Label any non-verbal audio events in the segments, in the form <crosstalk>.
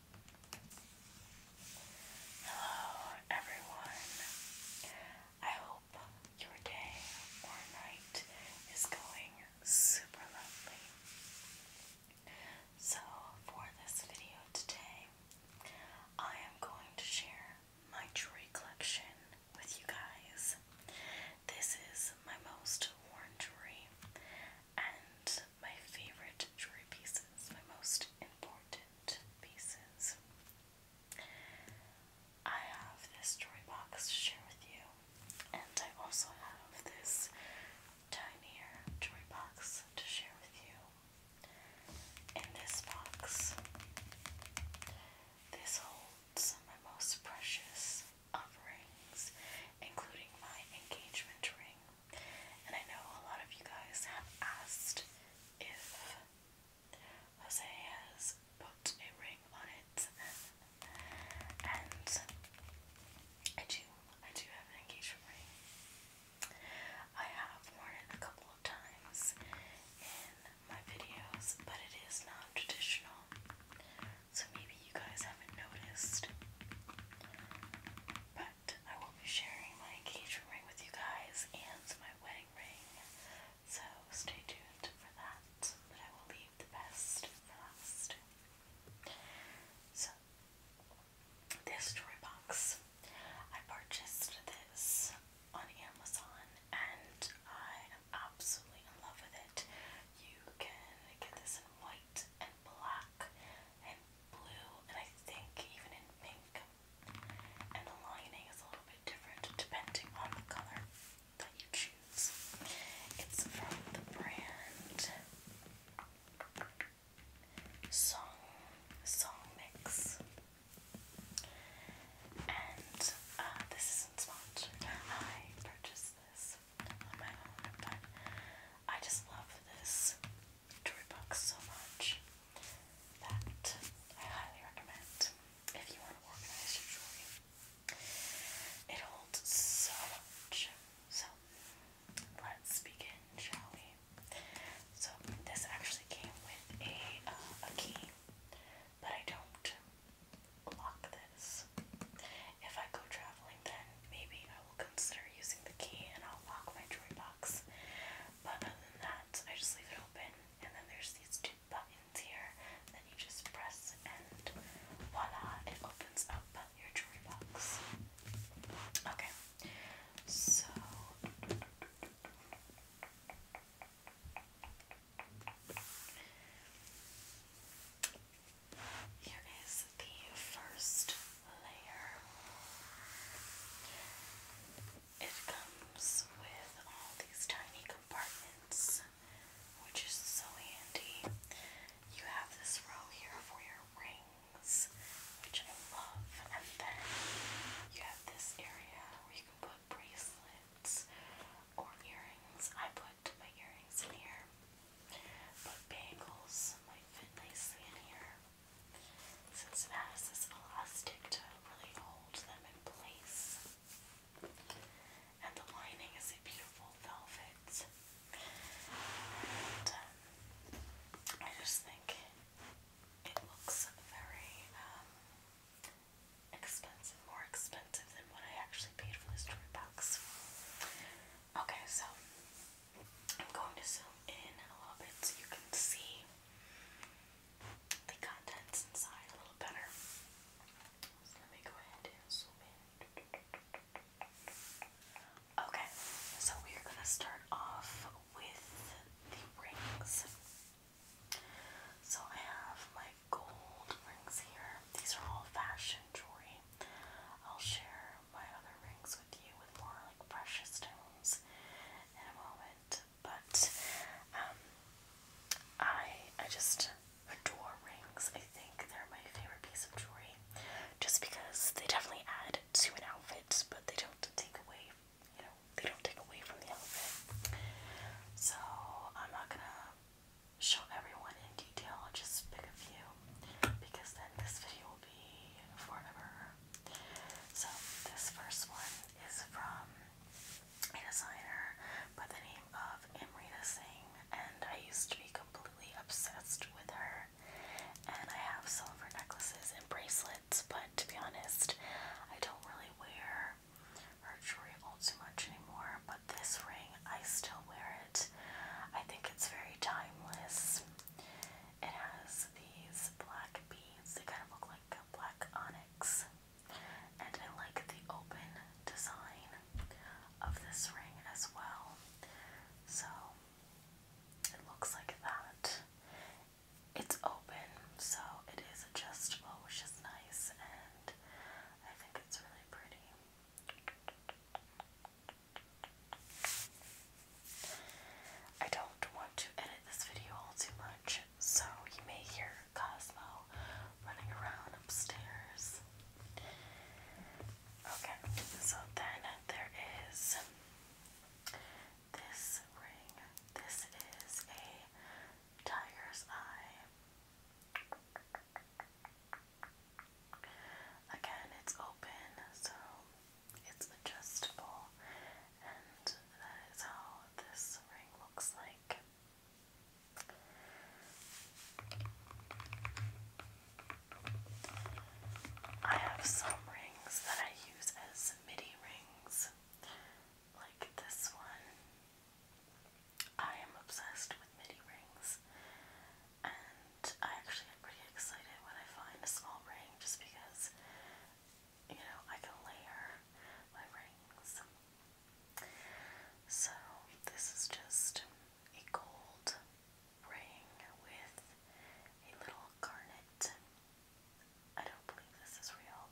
Hello, everyone. I hope your day or night is going super lovely. So, for this video today, I am going to share my jewelry collection with you guys. This is my most worn jewelry, and my favorite jewelry pieces, my most important pieces. I have this jewelry box to share with you, and I also have this tinier jewelry box to share with you. In this box, this holds my most precious offerings, including my engagement ring and I know a lot of you guys have asked if Jose has put a ring on it. And I do, I do have an engagement ring. I have worn it a couple of times in my videos, but it is non traditional. So maybe you guys haven't noticed. But I will be sharing my engagement ring with you guys and my wedding ring. So stay tuned for that. But I will leave the best for last. So this jewelry box. I purchased this on Amazon and I am absolutely in love with it. You can get this in white and black and blue and I think even in pink and the lining is a little bit different depending on the color that you choose. It's from the brand Song Song Mix, and uh, this isn't I purchased this on my own, but I just love this toy box so much that I highly recommend if you want to organize your jewelry. It holds so much. So let's begin, shall we? So this actually came with a, uh, a key, but I don't lock this. If I go traveling, then maybe I will consider using the key and I'll lock my jewelry box. But other than that, I just leave it open, and then there's these two buttons here that you just press, and voila, it opens up your jewelry box. Okay, so. Here is the first layer. It comes with all these tiny compartments, which is so handy. You have this row here for your rings, which I love, and then you have this area where you can put bracelets or earrings. I put my earrings in here, but bangles might fit nicely in here since it has this elastic to really hold them in place. And the lining is a beautiful velvet. And um, I just think it looks very um, expensive, more expensive than what I actually paid for this jewelry box. Okay, so I'm going to zoom in a little bit so you can see the contents inside a little better. Okay, so we're gonna start off with the rings. So I have my gold rings here. These are all fashion jewelry. I'll share my other rings with you with more like precious stones in a moment but um, I I just adore rings. I think they're my favorite piece of jewelry, just because they definitely add to an outfit, but they don't take away. You know, they don't take away from the outfit. So I'm not gonna show everyone in detail. I'll just pick a few because then this video will be forever so this first one is from a designer by the name of Amrita Singh, and I used to be completely obsessed with her. And I have some of her necklaces and bracelets, but to be honest, I don't really wear her jewelry all too much anymore. But this ring, I still wear it. I think it's very timeless. It has these black beads they kind of look like black onyx. And I like the open design of this ring as well. So it looks like that. It's open, so it is adjustable, which is nice, and I think it's really pretty. I don't want to edit this video all too much, so you may hear Cosmo running around upstairs. Okay, so then there is this ring. This is a tiger's eye. Again, it's open, so it's adjustable and that is how this ring looks like. I have some rings that I use as midi rings, like this one. I am obsessed with midi rings, and I actually get pretty excited when I find a small ring just because you know, I can layer my rings. So, this is just a gold ring with a little garnet. I don't believe this is real,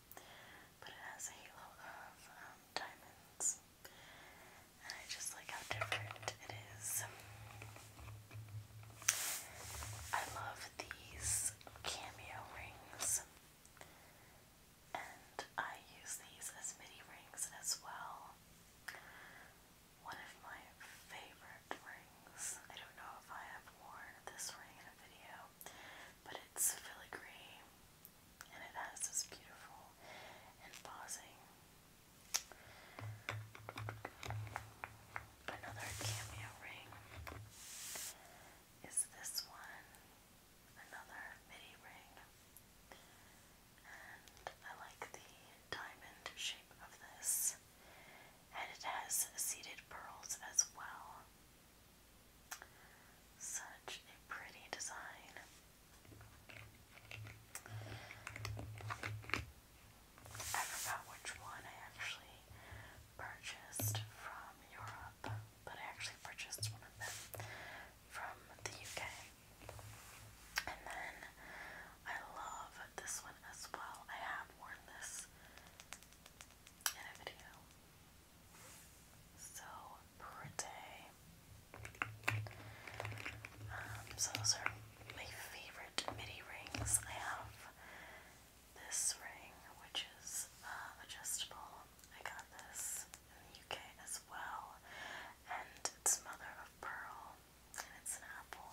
but it has a halo of um, diamonds. And I just like how different it is. I love these cameo rings, and I use these as midi rings as well. One of my favorite rings. I don't know if I have worn this ring in a video, but it's filigree and it has this beautiful embossing. Another cameo ring is this one, another midi ring, and I like the diamond shape of this, and it has seeded pearls as well. Such a pretty design. I forgot which one I actually purchased from Europe, but I actually purchased one of them from the UK. And then I love this one as well. I have worn this in a video. So pretty. Um, so those are my favorite midi rings. I have this ring, which is uh, adjustable. I got this in the UK as well, and it's mother of pearl, and it's an apple.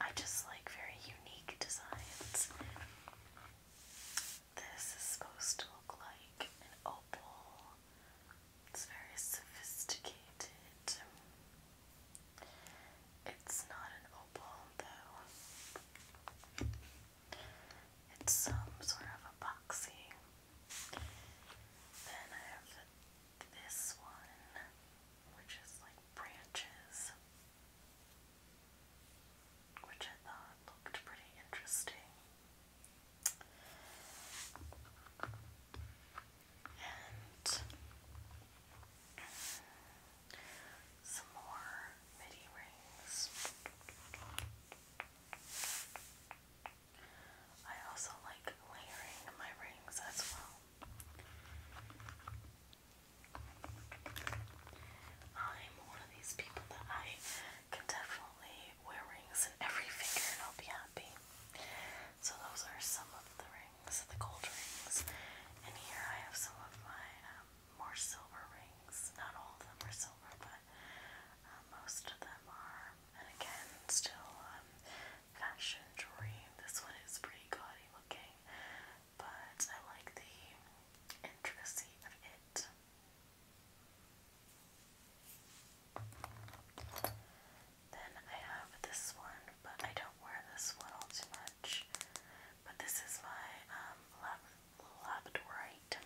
I just like very unique designs. This is supposed to look like an opal. It's very sophisticated. It's not an opal though. It's some sort of epoxy. Then I have this one, which is like branches, which I thought looked pretty interesting some more midi rings. I also like layering my rings as well. I'm one of these people that I can definitely wear rings in every finger and I'll be happy. So those are some of the rings rings, the gold rings, and here I have some of my um, more silver rings. Not all of them are silver, but um, most of them are. And again, still um, fashion jewelry. This one is pretty gaudy looking, but I like the intricacy of it. Then I have this one, but I don't wear this one all too much. But this is my um, labradorite,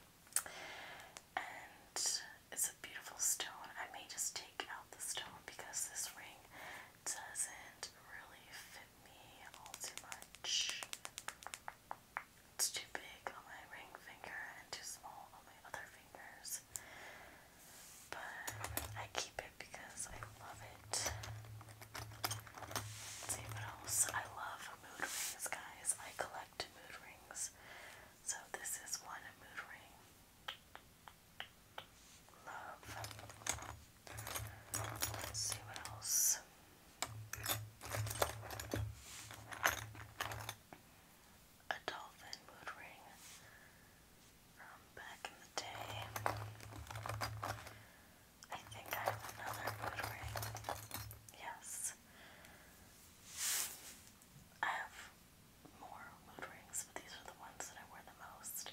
and it's a beautiful stone. I may just take out the stone because this ring doesn't really fit me all too much. It's too big on my ring finger and too small on my other fingers but I keep it because I love it. see what else. I love mood rings, guys. I collect mood rings. So this is one mood ring. Love. see what else. A dolphin mood ring from back in the day. I think I have another good ring. Yes. I have more mood rings, but these are the ones that I wear the most.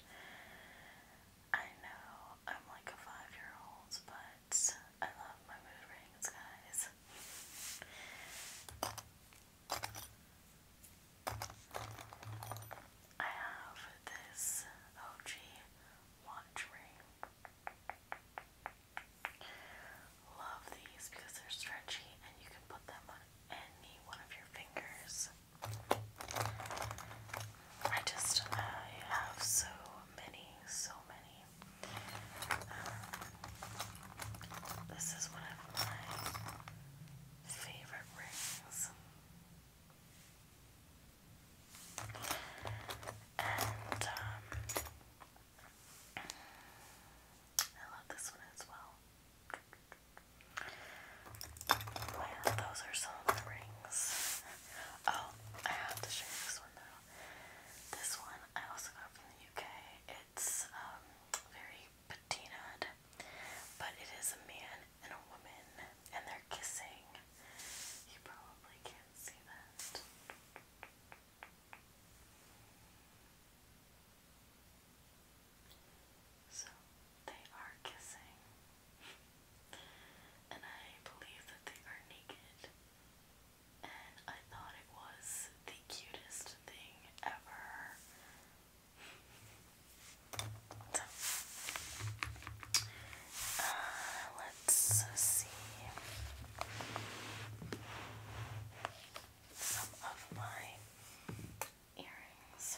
I know I'm like a five year old, but I love my mood rings, guys. I have this OG watch ring. Love these because they're stretchy and you can put them on any one of your fingers. I just, I have so many, so many. this is one of my favorite rings. And um, I love this one as well. Oh, those are some of the rings. Oh, I have to show you this one though. This one I also got from the UK. It's um, very patinaed but it is a man and a woman, and they're kissing. You probably can't see that. So they are kissing. and I believe that they are naked. And I thought it was the cutest thing ever. Uh, let's see some of my earrings.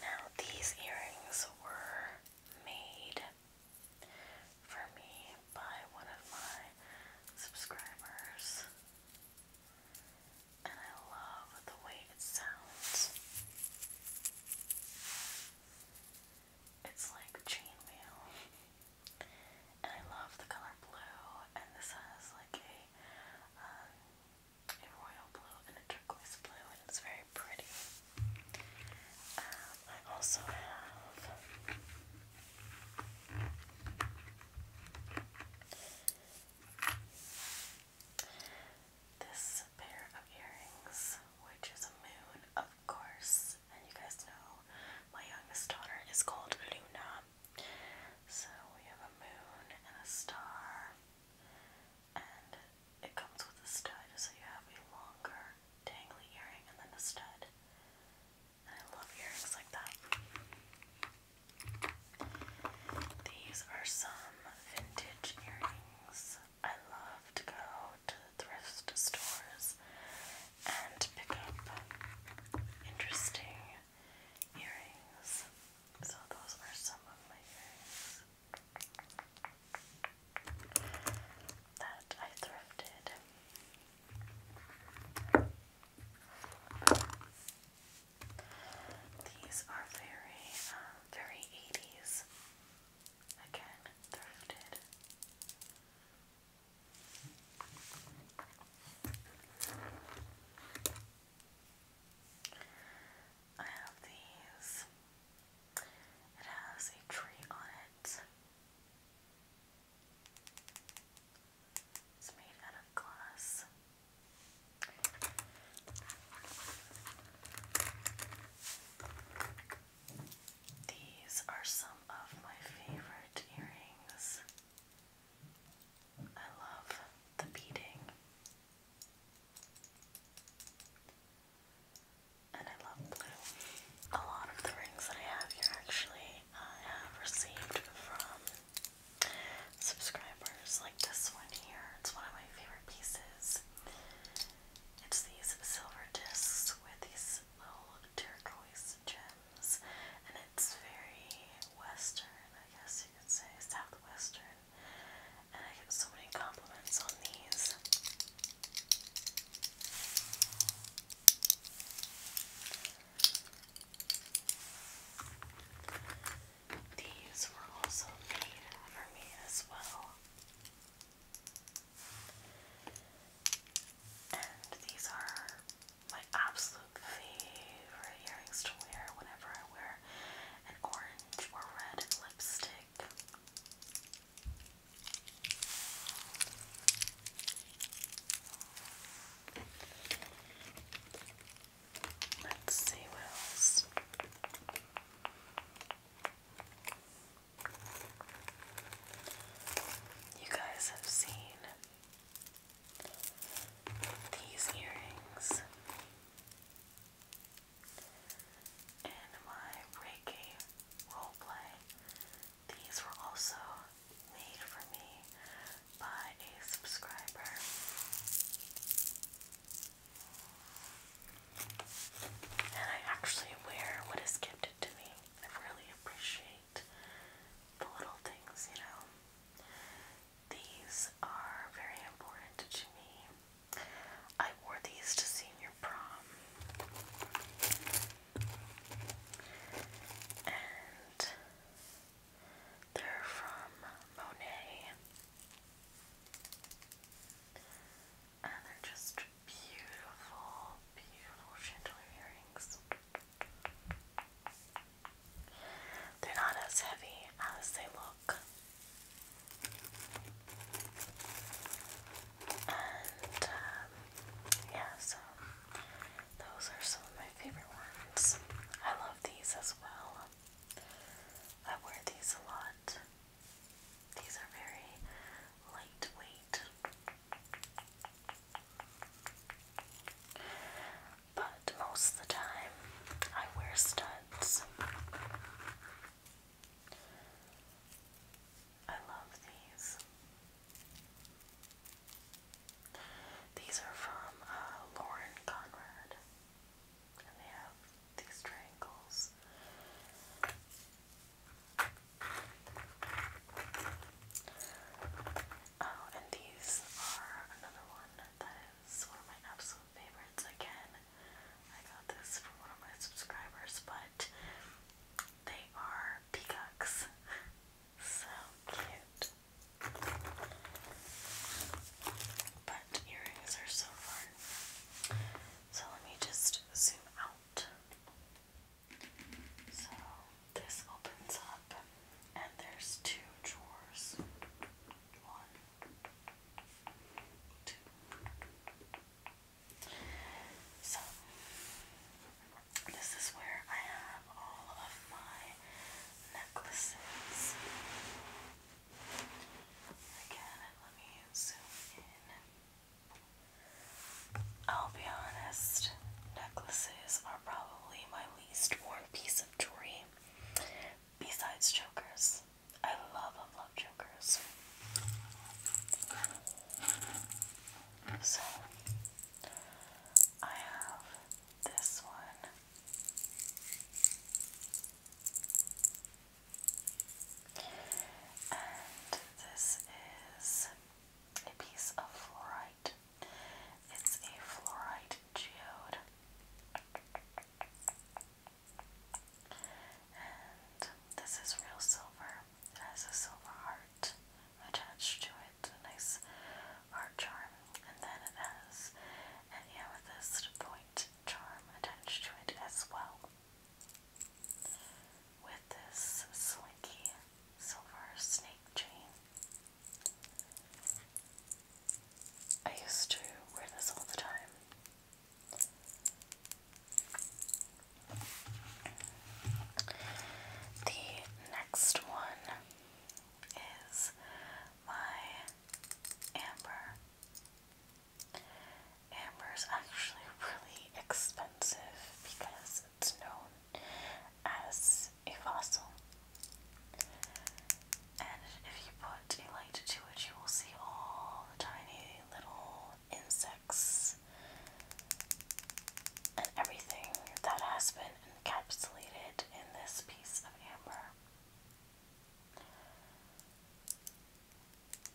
Now, these earrings were made for me by one of my subscribers and I love the way it sounds. It's like chainmail, and I love the color blue. And this has like a um, a royal blue and a turquoise blue, and it's very pretty. Um, I also have this pair of earrings, which is a moon, of course, and you guys know my youngest daughter is called Luna. So we have a moon and a star, and it comes with a stud, so you have a longer dangly earring and then a stud. I love earrings like that. These are some vintage earrings. I love to go to thrift stores and pick up interesting earrings. So, those are some of my earrings that I thrifted. These are very, um, very 80s. Again, thrifted. I have these. It has a tree on it. It's made out of glass. These are some of my favorite earrings. I love the beading. And I love blue. A lot of the rings that I have here actually I have received from subscribers, like this one here. It's one of my favorite pieces. It's these silver discs with these little turquoise gems, and it's very western, I guess you could say, southwestern. And I get so many compliments on these. These were also made for me as well. And these are my absolute favorite earrings to wear whenever I wear an orange or red lipstick. Let's see what else. You guys have seen these earrings in my Reiki roleplay. These were also made for me by a subscriber. And I actually wear what is gifted to me. I really appreciate the little things, you know. These are very important to me. I wore these to senior prom. And they're from Monet. And they're just beautiful, beautiful chandelier earrings. They're not as heavy as they look. And um, yeah, so those are some my favorite ones. I love these as well. I wear these a lot. These are very lightweight. But most of the time, I wear studs. I love these. These are from uh, Lauren Conrad, and they have these triangles. Oh, and these are another one that is one of my absolute favorites. Again, I got this from one of my subscribers, but they are peacocks. <laughs> So cute. But earrings are so fun. So let me just zoom out. So this opens up, and there's two drawers. One, two. So, this is where I have all of my necklaces. Again, let me zoom in. I'll be honest, necklaces are probably my least worn piece of jewelry besides jokers, I love, love, jokers. So, I have this one. And this is a piece of fluorite. It's a fluorite geode. And this is real silver. It has a silver heart attached to a nice art charm. And then it has an amethyst point charm attached to it as well. With this slinky silver snake chain. I used to wear this all the time. The next one is my amber. Amber is actually <laughs> really expensive because it's known as a fossil. And if you put a light to it, you will see all tiny little insects and everything that has been encapsulated in this piece of amber.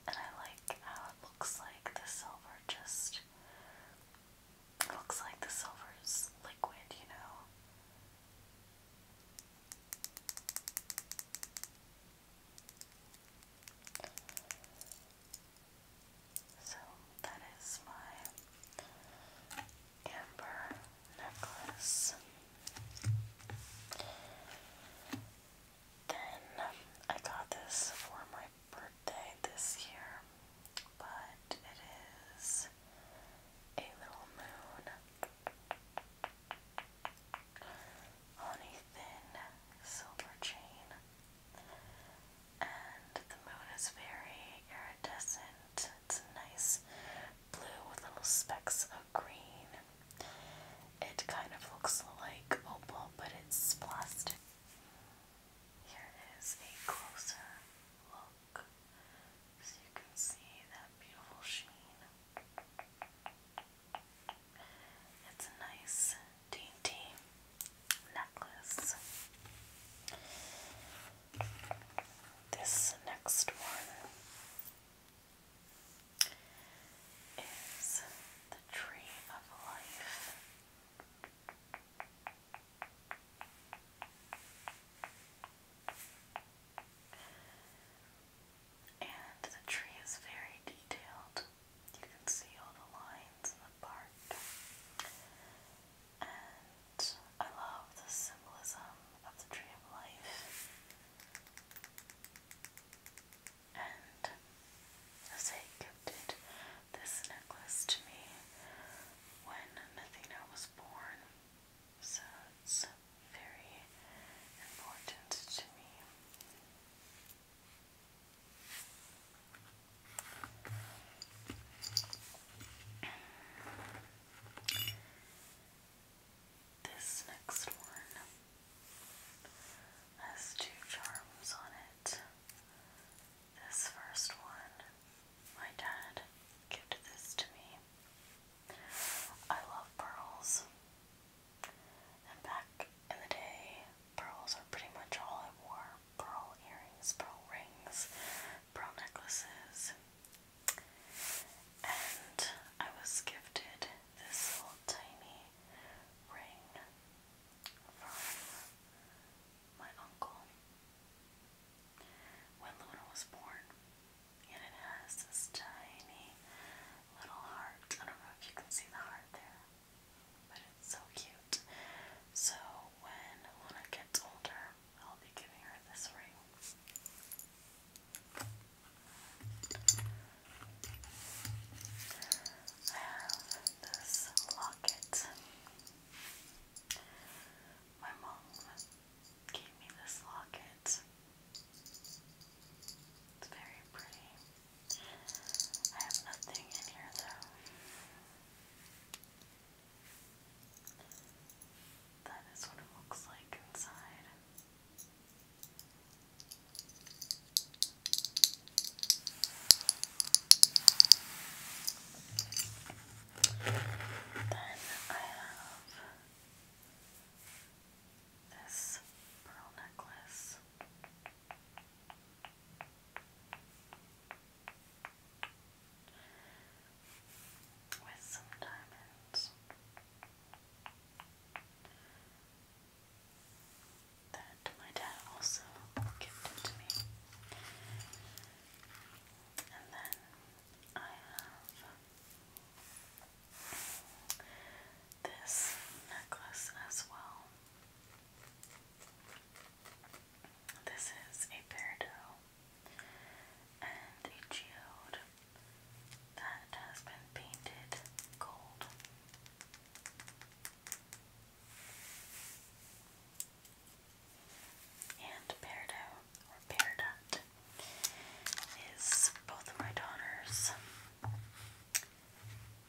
And I like how it looks like the silver just looks like the silver is liquid, you know. So that is my amber necklace. Then I got this for my birthday this year, but it is a little moon on a thin silver chain, and the moon is very iridescent it's nice blue with little specks of green. It kind of looks like opal, but it's plastic. Here is a closer look so you can see that beautiful sheen. It's a nice dainty necklace. This next one is the Tree of Life. And the tree is very detailed. You can see all the lines in the bark and I love the symbolism of the tree of life. And as gifted this necklace to me when Nathena was born, so it's very important to me. This next one has two charms on it. This first one, my dad gifted this to me. I love pearls. And back in the day, pearls are pretty much all I wore pearl earrings, pearl rings, pearl necklaces. And I was gifted this little tiny ring from my uncle when Luna was born. And it has this tiny little heart. I don't know if you can see the heart there, but it's so cute. So when Luna gets older, I'll be giving her this ring. I have this locket. My mom gave me this locket. It's very pretty. I have nothing in here though. That is what it looks like inside. Then I have this pearl necklace with some diamonds. That my dad also gifted to me. And then I have this necklace as well. This is a peridot and a geode that has been painted gold. And peridot, is both of my daughters'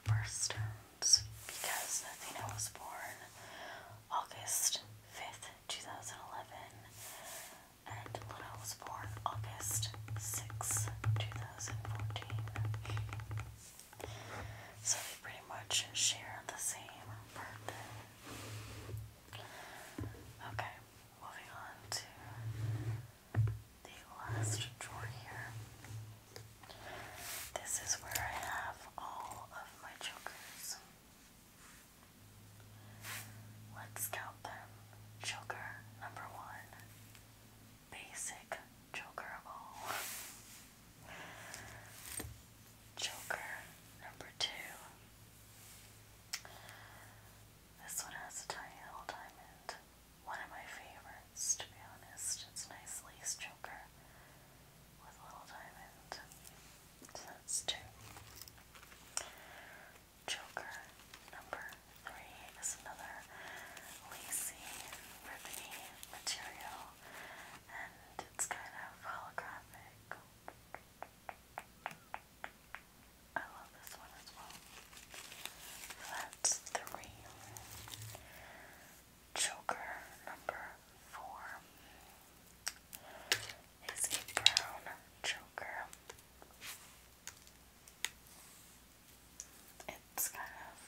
birthstones because I was born August 5th, 2011, and Luna was born August 6, 2014. So they pretty much share the same birthday. Okay, moving on to the last drawer here. This is where I have all of my jokers. Let's count them. Joker number one. Basic Joker of all. Joker number two. This one has a tiny little diamond. One of my favorites, to be honest. It's a nice lace joker with a little diamond. that's two. Joker number three is another lacy, ribbony material, and it's kind of holographic. I love this one as well. that's three. Joker number four. It's a brown choker. It's kind of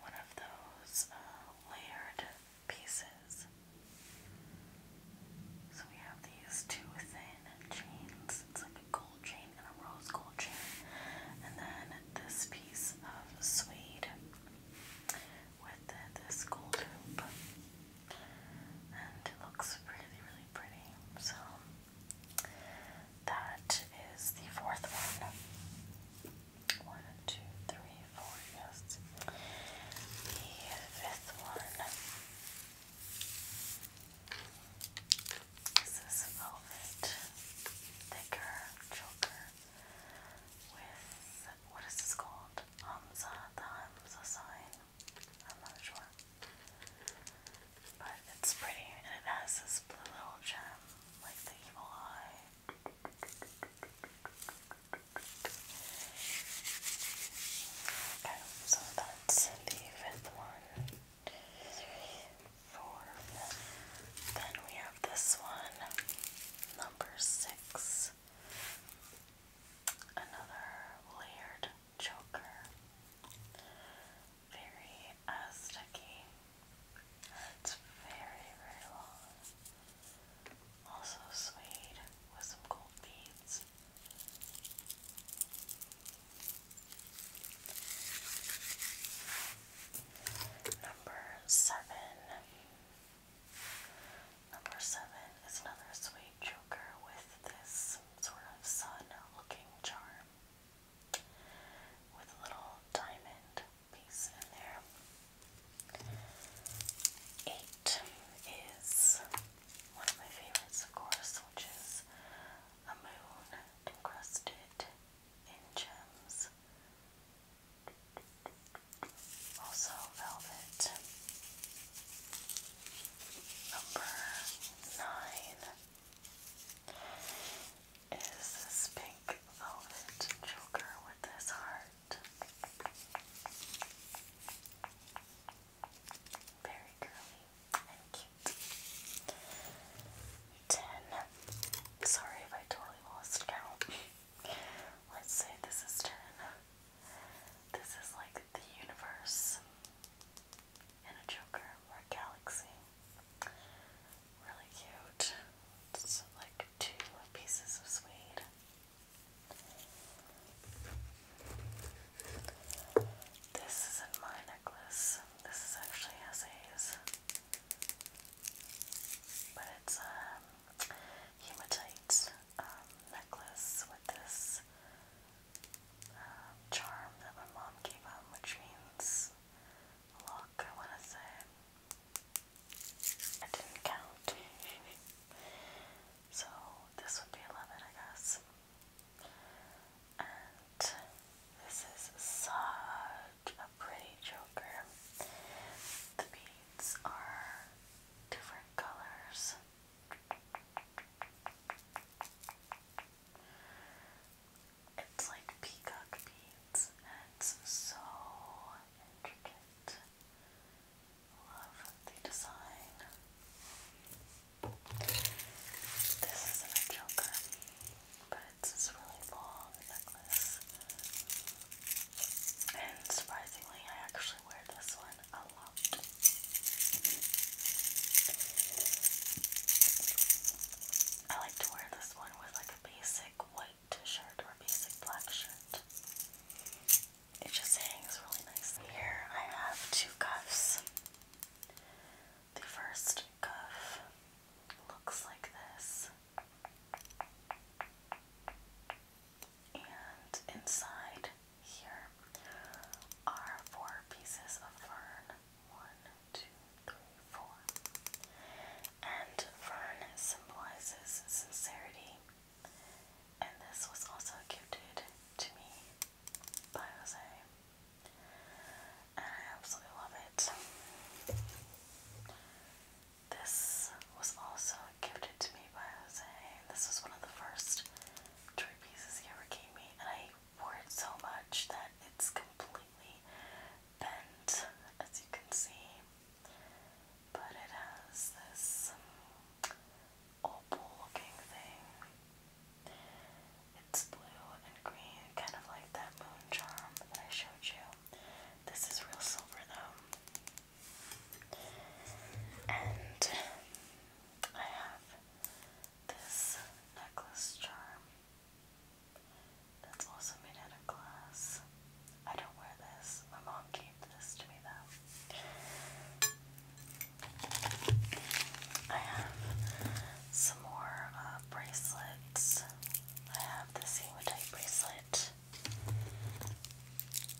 one of those uh, layered pieces. So we have these two thin chains. It's like a gold chain and a rose gold chain. And then this piece of suede with this gold hoop and it looks really, really pretty. So, that is the fourth one. One, two, three, four, yes. The fifth one this velvet thicker choker with, what is this called? Hamza, the Hamza sign. I'm not sure. But it's pretty and it has this blue little gem, like the evil eye. Okay, so that's the fifth one. Four. Then we have this one, number six. Another layered choker. Very uh, sticky. It's very, very long. Also suede with some gold beads. Number seven. Number seven is another sweet joker with this sort of sun-looking charm with a little diamond piece in there. Eight is one of my favorites, of course, which is a moon encrusted in gems. Also velvet. Number nine is this pink velvet choker with this heart. Very curly and cute. Ten. Sorry if I totally lost count. Let's say this is ten. This is like the universe and a Joker or a galaxy. Really cute. It's like two pieces of suede. This isn't my necklace. This is actually Essays. But it's um, hematite um, necklace with this um, charm that my mom gave him, which means luck, I want to say. I didn't count. <laughs> so this would be 11, I guess. And this is such a pretty joker. The beads are different colors. It's like peacock beads, and it's so intricate. Love the design. This isn't a joker, but it's this really long necklace. And surprisingly, I actually wear this one a lot. I like to wear this one with like a basic white shirt or a basic black shirt. It just hangs really nice. Here I have two cuffs. The first cuff looks like this. And inside here are four pieces of fern. One, two, three, four. And fern symbolizes sincerity. And this was also gifted to me by Jose. And I absolutely love it. This was also gifted to me by Jose. This was one of the first toy pieces he ever gave and I wore it so much that it's completely bent, as you can see. But it has this opal-looking thing. It's blue and green, kind of like that moon charm that I showed you. This is real silver, though. And I have this necklace charm that's also made out of glass. I don't wear this. My mom gave this to me though. I have some more uh, bracelets. I have this hematite bracelet.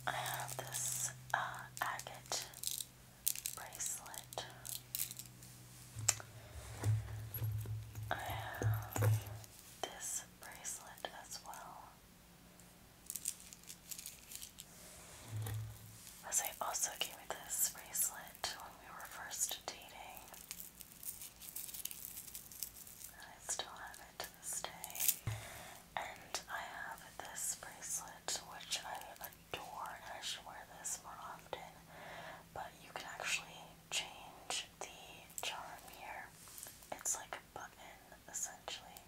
I have this uh, agate bracelet. I have this bracelet as well. As I also gave this bracelet when we were first dating. I still have it to this day. And I have this bracelet which I torn, I should wear this more often. But you can actually change the charm here. It's like a button, essentially.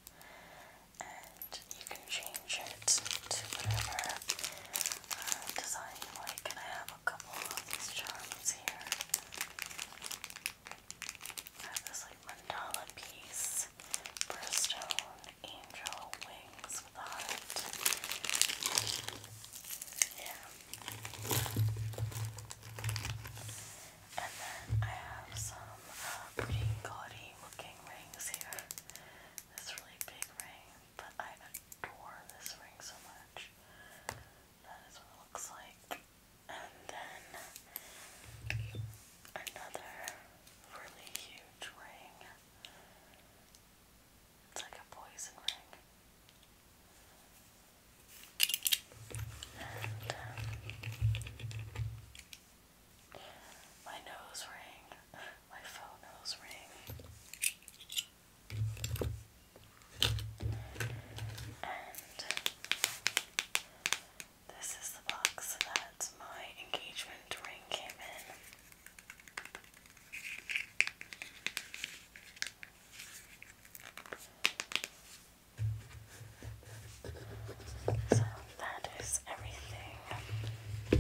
And you can change it to whatever uh, design like. I have a couple of these charms here. I have this like mandala piece for a stone, angel wings with a heart. Yeah. And then I have some pretty uh, gaudy looking rings here. This really big ring, but I adore this ring so much. That is what it looks like. And then another really huge ring. It's like a poison ring. Uh, my nose ring, my faux nose And this is the box that my engagement ring came in. So that is everything in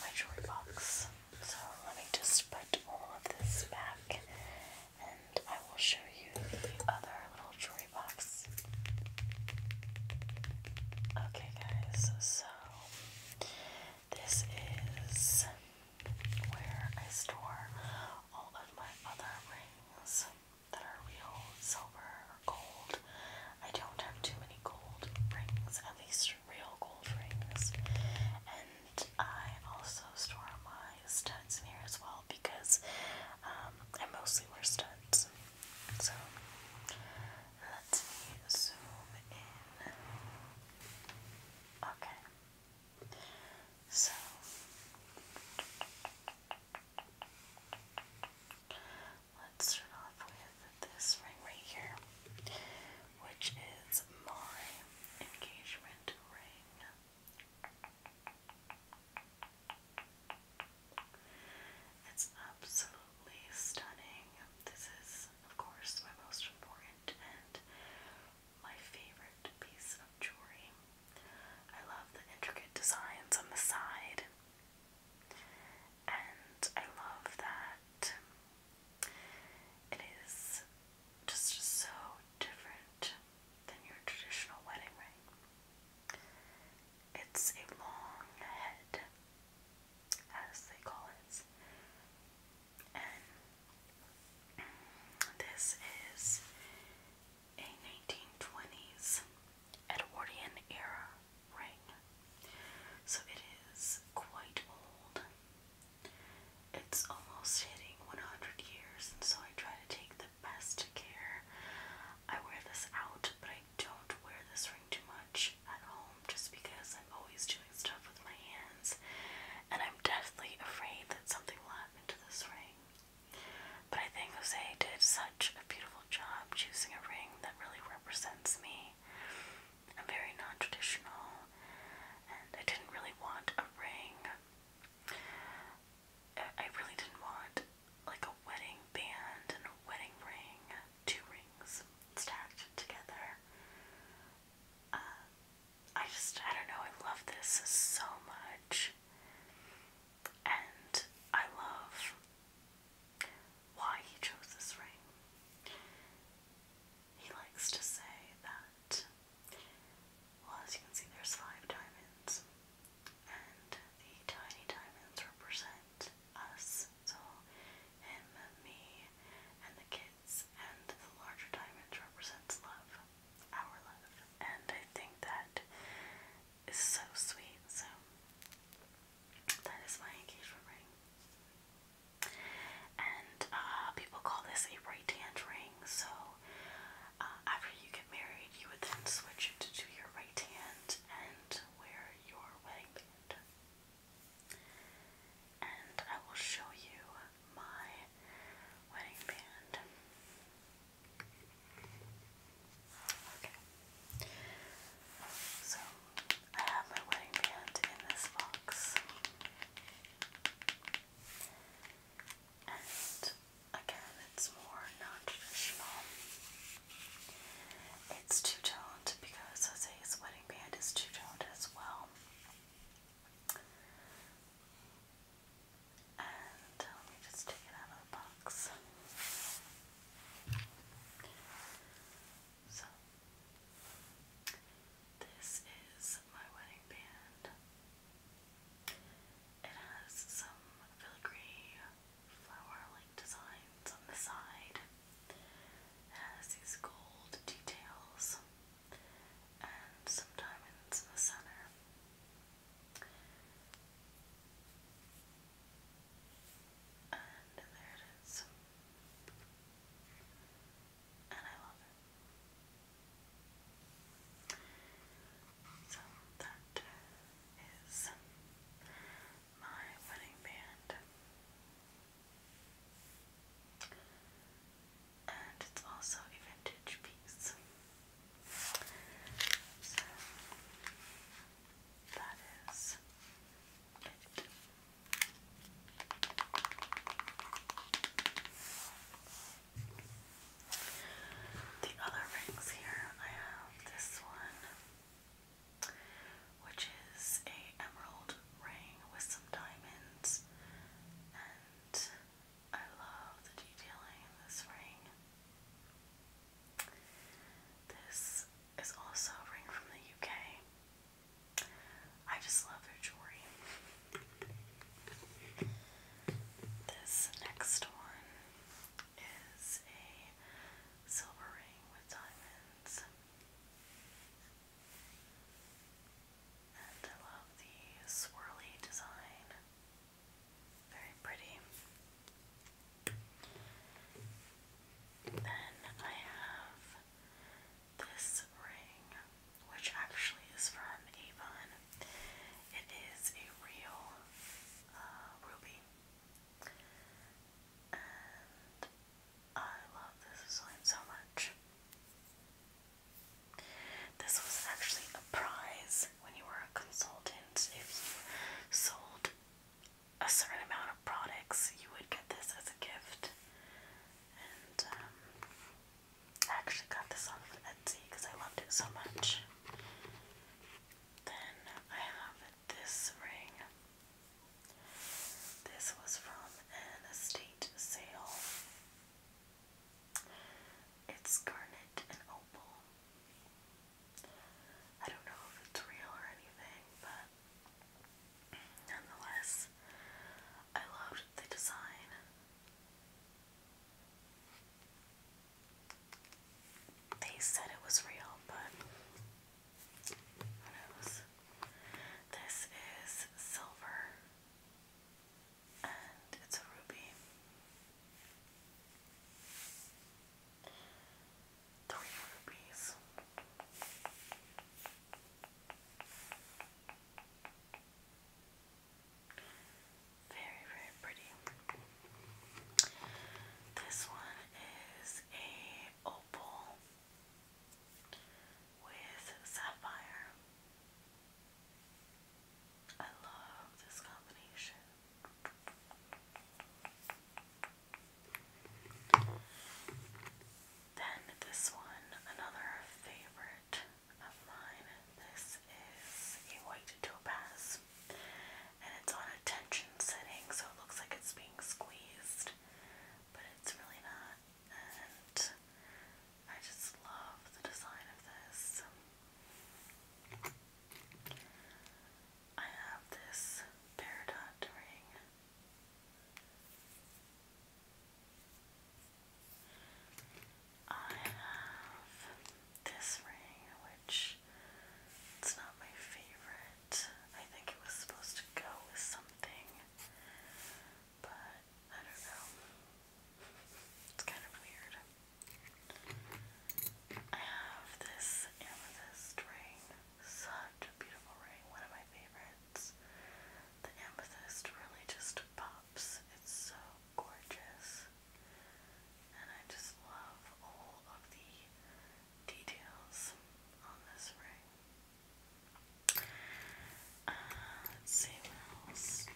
my jewelry box. So let me just put all of this back and I will show you the other little jewelry Okay, guys, so this is where I store all of my other rings that are real silver or gold. I don't have too many gold rings, at least real gold rings. And I also store my studs in as well because um, I mostly wear studs. So let me zoom in. Okay. So let's start off with this ring right here, which is my engagement ring. It's absolutely stunning. This is, of course, my most important and my favorite piece of jewelry. I love the intricate designs on the side, and I love that it is just so different than your traditional wedding ring. It's a long head, as they call it. And this is a 1920s Edwardian era ring. So it is quite old. It's almost hitting 100 years, and so I try to take the best care. I wear this out, but I don't wear this ring too much at home just because I'm always doing stuff with my hands and I'm deathly afraid that something will happen to this ring. But I think Jose did such a beautiful job choosing a ring that really represents me. I'm very non traditional and I didn't really want a ring. I really didn't want like a wedding band and a wedding ring, two rings stacked together. Uh, I just, I don't know, I love this so much. And I love why he chose this ring. He likes to say that, well, as you can see, there's five diamonds, and the tiny diamonds represent us Rapunzel him, me, and the kids, and the larger diamond represents love, our love. And I think that is so sweet, so that is my engagement ring. And uh, people call this a right hand ring, so uh, after you get married, you would then switch it to your right hand and wear your wedding and I will show you my wedding band. Okay. So I have my wedding band in this box. And again, it's more non traditional. It's two toned because Jose's wedding band is two toned as well. And uh, let me just take it out of the box. So, this is my wedding band. It has some filigree flower like designs on the side. has these gold details and some diamonds in the center. And there it is. And I love it. So that is my wedding band. And it's also a vintage piece. that is it. The other rings here, I have this one which is a emerald ring with some diamonds and I love the detailing in this ring. This is also a ring from the UK. I just love their jewelry. This next one is a silver ring with diamonds. I love the swirly design. Very pretty. Then I have this ring, which actually is from Avon. It is a real uh, ruby. I love this design so much. This was actually a prize when you were a consultant. If you sold a certain amount of products, you would get this as a gift. And um, I actually got this off Etsy because I loved it so much. Then I have this ring. This was from an estate sale. It's garnet and opal. I don't know if it's real or anything, but nonetheless, I loved the design. They said it was real, but this is silver and it's a ruby. Three rubies. Very, very pretty. This one is a with sapphire. I love this combination. Then this one, another favorite of mine. This is a white topaz, and it's on tension setting, so it looks like it's being squeezed, but it's really not. And I just love the design of this. I have this peridot ring. I have this ring, which it's not my favorite. I think it was supposed to go with something, but I don't know. It's kind of weird. I have this amethyst ring. Such a beautiful ring. One of my favorites. The amethyst really just pops. It's so gorgeous. And I just love all of the details on this ring. Uh, let's see else.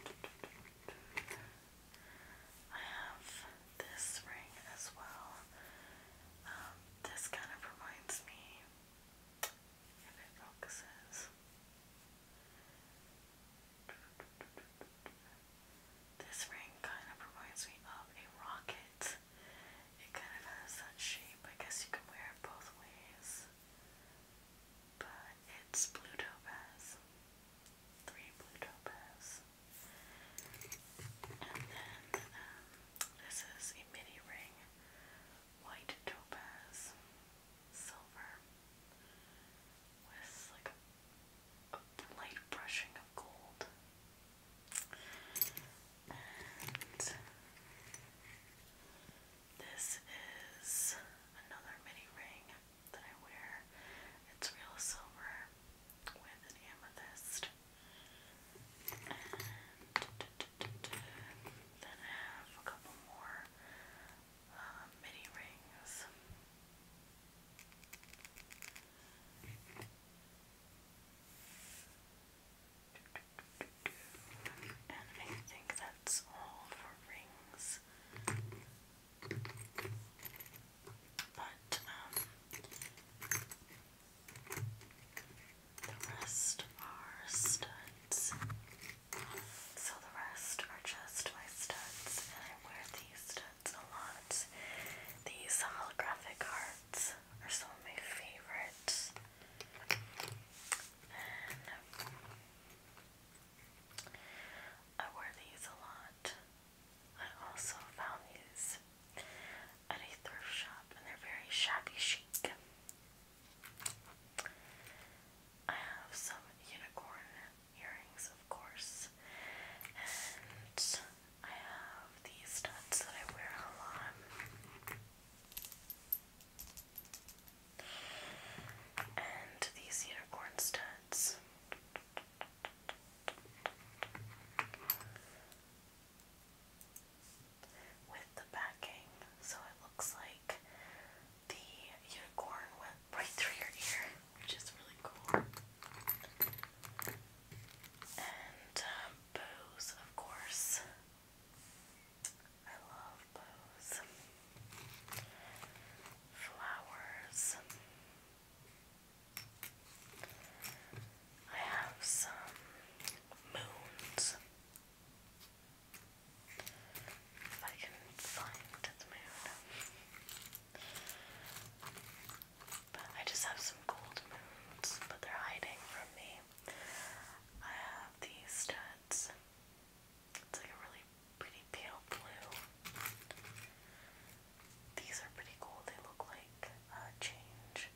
I have this ring as well. Um, this kind of reminds me, if it focuses, this ring kind of reminds me of a rocket. It kind of has that shape. I guess you can wear it both ways. But it's blue topaz. Three blue topaz. And then um, this is a mini ring. White topaz. Silver. With like a light brushing of gold. And this is another mini ring that I wear. It's real silver with an amethyst. then I have a couple more uh, mini rings. And I think that's all for rings. But, um, the rest are studs. So the rest are just my studs, and I wear these studs a lot. These holographic hearts these are some of my favorites. And I wear these a lot. I also found these at a thrift shop and they're very shabby chic. I have some unicorn earrings, of course, and I have these studs that I wear a lot. And these unicorn studs. With the backing, so it looks like the unicorn went right through your ear, which is really cool. And um, Bose, of course. I love Bose. Flowers. I have some moons. If I can find the moon. But I just have some gold moons, but they're hiding from me. I have these studs. It's like a really pretty pale blue. These are pretty cool. They look like uh, change.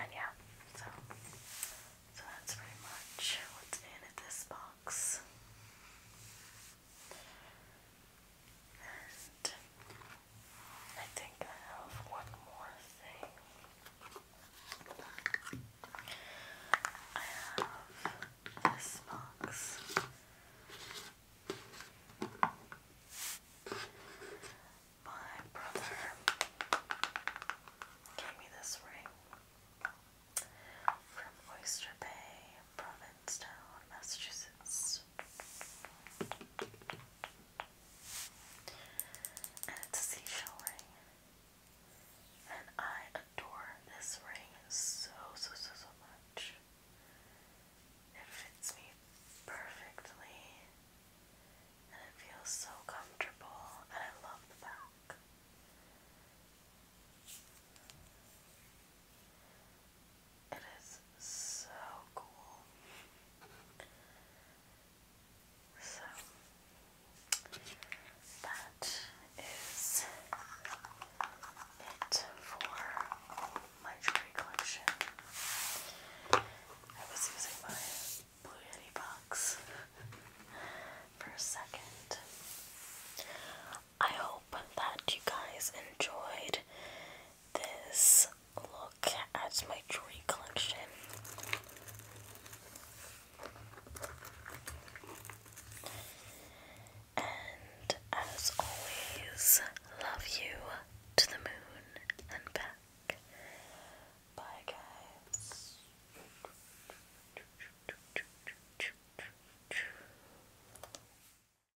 And yeah, so so that's pretty much what's in this box. And I think I have one more thing. I have this box. My brother gave me this ring from Oyster Bay, Provincetown, Massachusetts it's a seashell ring. And I adore this ring so, so, so, so much. It fits me perfectly. And it feels so comfortable. And I love the back. It is so cool. So that is it for my jewelry collection. I was using my Blue Yeti box <laughs> for a second. I hope that you guys enjoyed this look as my jewelry collection. And as always, love you to the moon and back. Bye, guys.